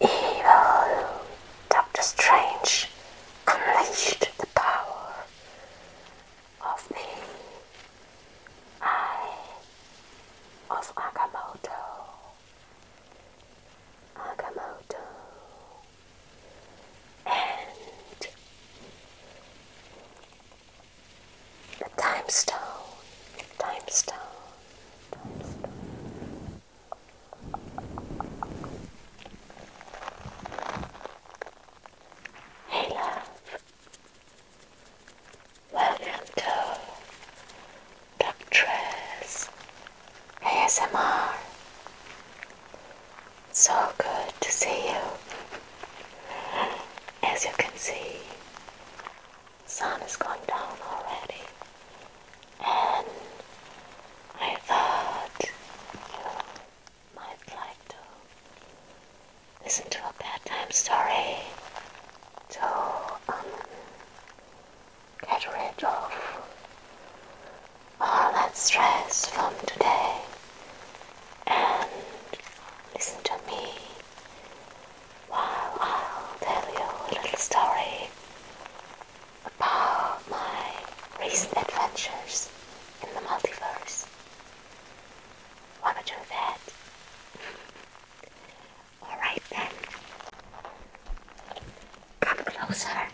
Evil Doctor Strange unleashed the power of the Eye of Agamotto. Agamotto. And Time stone, time stone, time stone. Hey love, welcome to Doctress ASMR. So good to see you. As you can see, sun has gone down already. And I thought you oh, might like to listen to a bedtime story to um, get rid of all that stress from today and listen to me well, I'll tell you a little story about my recent adventures in the multiverse. Wanna do that? Alright then. Come closer.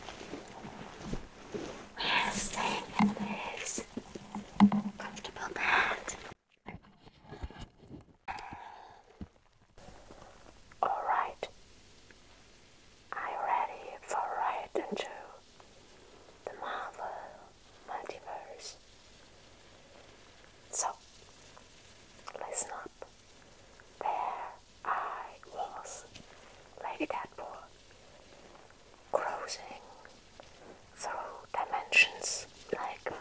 We're staying in this comfortable bed. All right. I'm ready for ride into the Marvel multiverse. So, listen up. There I was, Lady Deadpool, cruising through dimensions like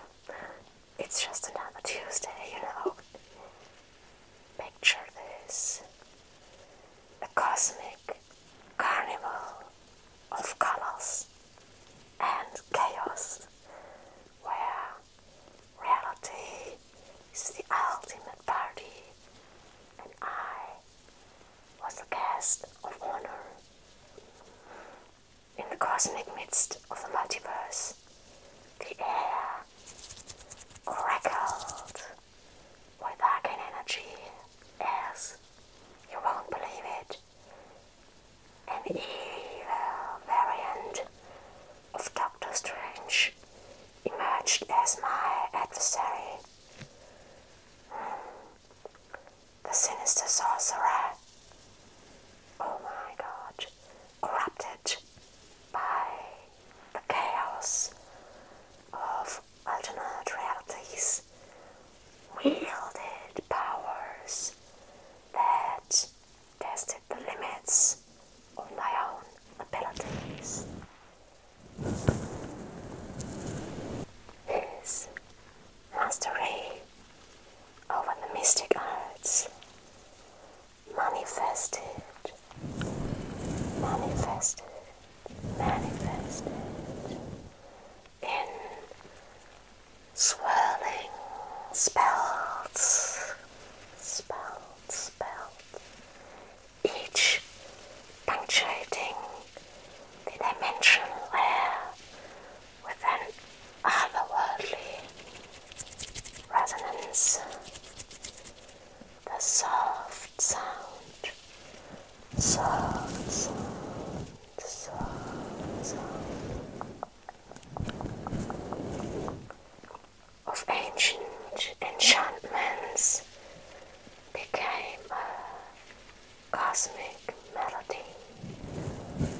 it's just another Tuesday, you know. Picture this a cosmic carnival of colors and chaos where reality is the ultimate party, and I was the guest of honor in the cosmic midst of the multiverse, the air crackled with arcane energy as you won't believe it. An evil variant of Doctor Strange emerged as my adversary. Hmm. The sinister sorcerer oh my god, corrupted by the chaos of alternate realities, wielded powers that tested the limits of my own abilities. His mastery or oh, the mystic arts manifested, manifested, manifested in swirling spells, spells, spells, each punctuating the dimension where with an otherworldly resonance. The soft sound, soft sound, sound of ancient enchantments became a cosmic melody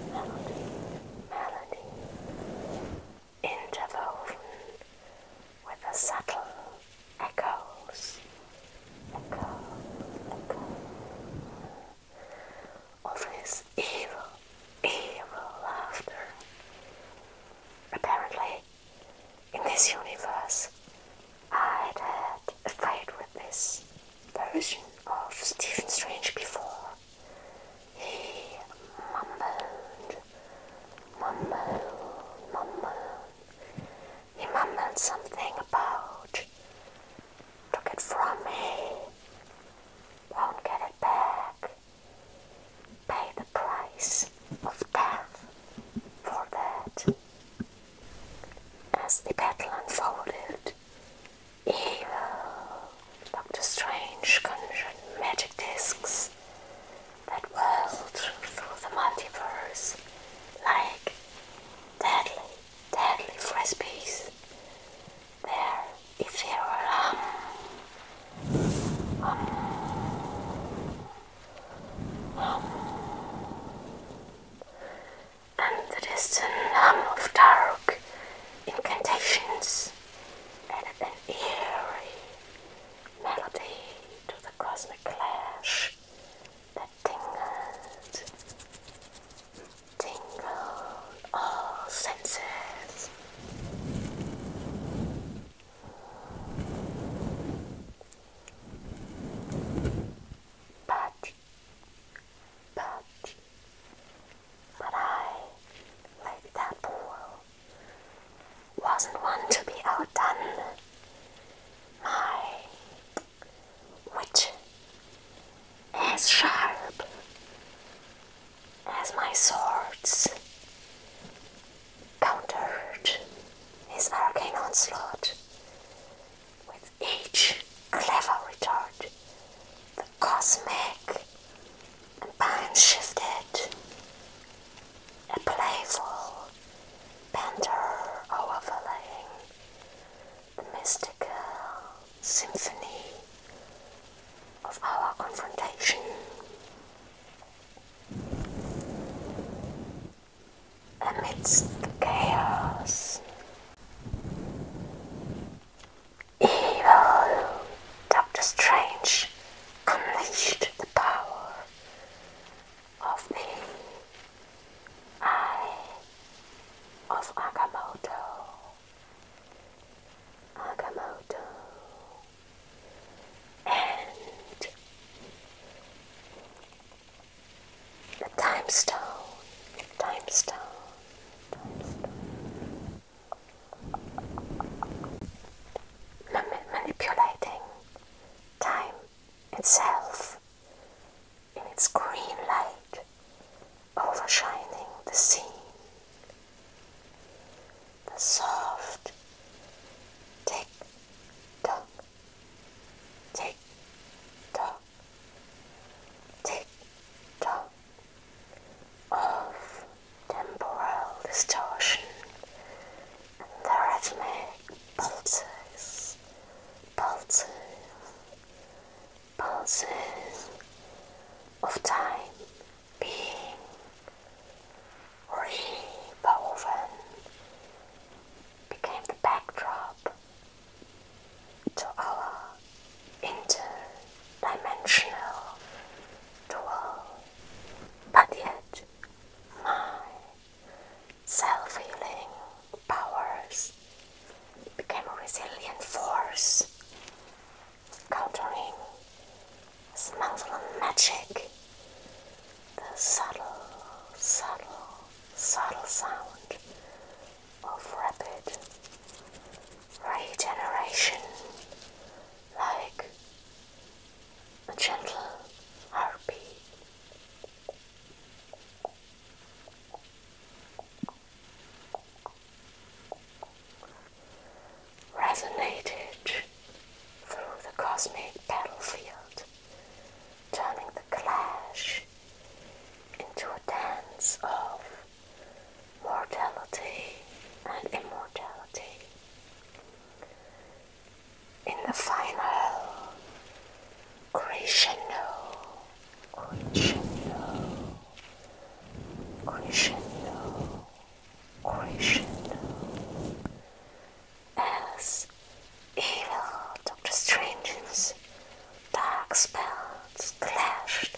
melody interwoven with the subtle echoes, echo, echo of his evil, evil laughter. Apparently, in this universe, i had a fight with this version of Stephen Strange before, she mumbled, mumbled, mumbled. He mumbled something about. Took it from me. Won't get it back. Pay the price of death for that. As the battle unfolded, evil Doctor Strange conjured magic discs that whirled through the multiverse like deadly, deadly frisbees. Their ethereal um, um, um, and the distant hum of dark incantations and an eerie melody to the cosmic clash that tingled, tingled all senses. But, but, but I, like Deadpool, wasn't one to be outdone. My witch as sharp as my swords countered his arcane onslaught with each clever retort. The cosmic and Pine shifted, a playful banter overlaying the mystical symphony of our confrontation. Amidst the chaos, evil. Doctor Strange unleashed the power of the Eye of Agamotto. Agamotto. And the time stone, time stone, time stone manipulating time itself in its green light overshining the scene. The soft tick tock, tick tock, tick tock of temporal distortion the rhythmic pulses, pulses, pulses of time being rewoven became the backdrop to our interdimensional dual, but yet my self healing powers became a resilient force countering a Smangalan magic, the subtle, subtle, subtle sound of rapid regeneration like a gentle heartbeat. Resonated through the cosmic battlefield, turning the clash into a dance of mortality and immortality. In the final crescendo, crescendo, crescendo, crescendo, as evil Doctor Strange's dark spells clashed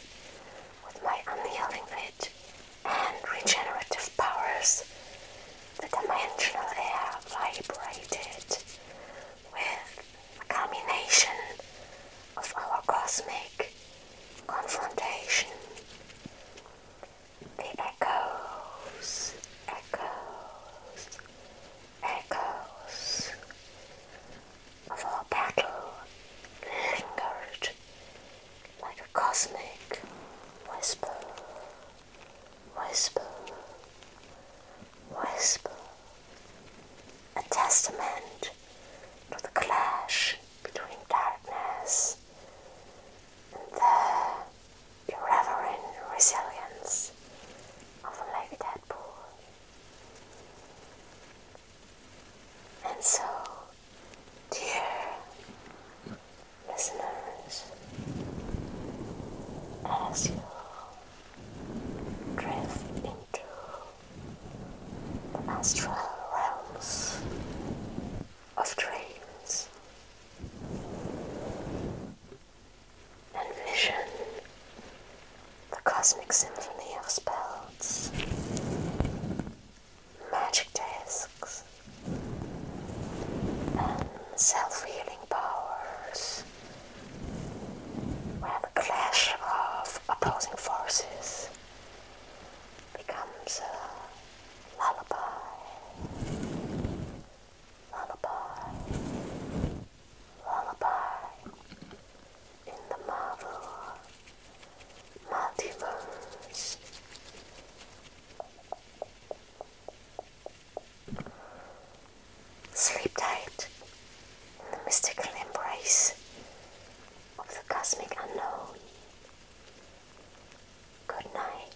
with my unyielding wit and regenerative powers, the dimensional air vibrated with a culmination of our cosmic confrontation. The echoes, echoes, echoes of our battle lingered like a cosmic whisper, whisper, whisper, a testament to the clash between darkness and the irreverent resilience of a lady Deadpool. And so, dear listeners, as you drift into the astral realms of dreams and vision, the cosmic symphony of spells magic discs, and self-healing powers where the clash of opposing forces becomes a lullaby. Lullaby. Lullaby in the marvel multiverse. Sleep tight in the mystical embrace of the cosmic unknown. Good night.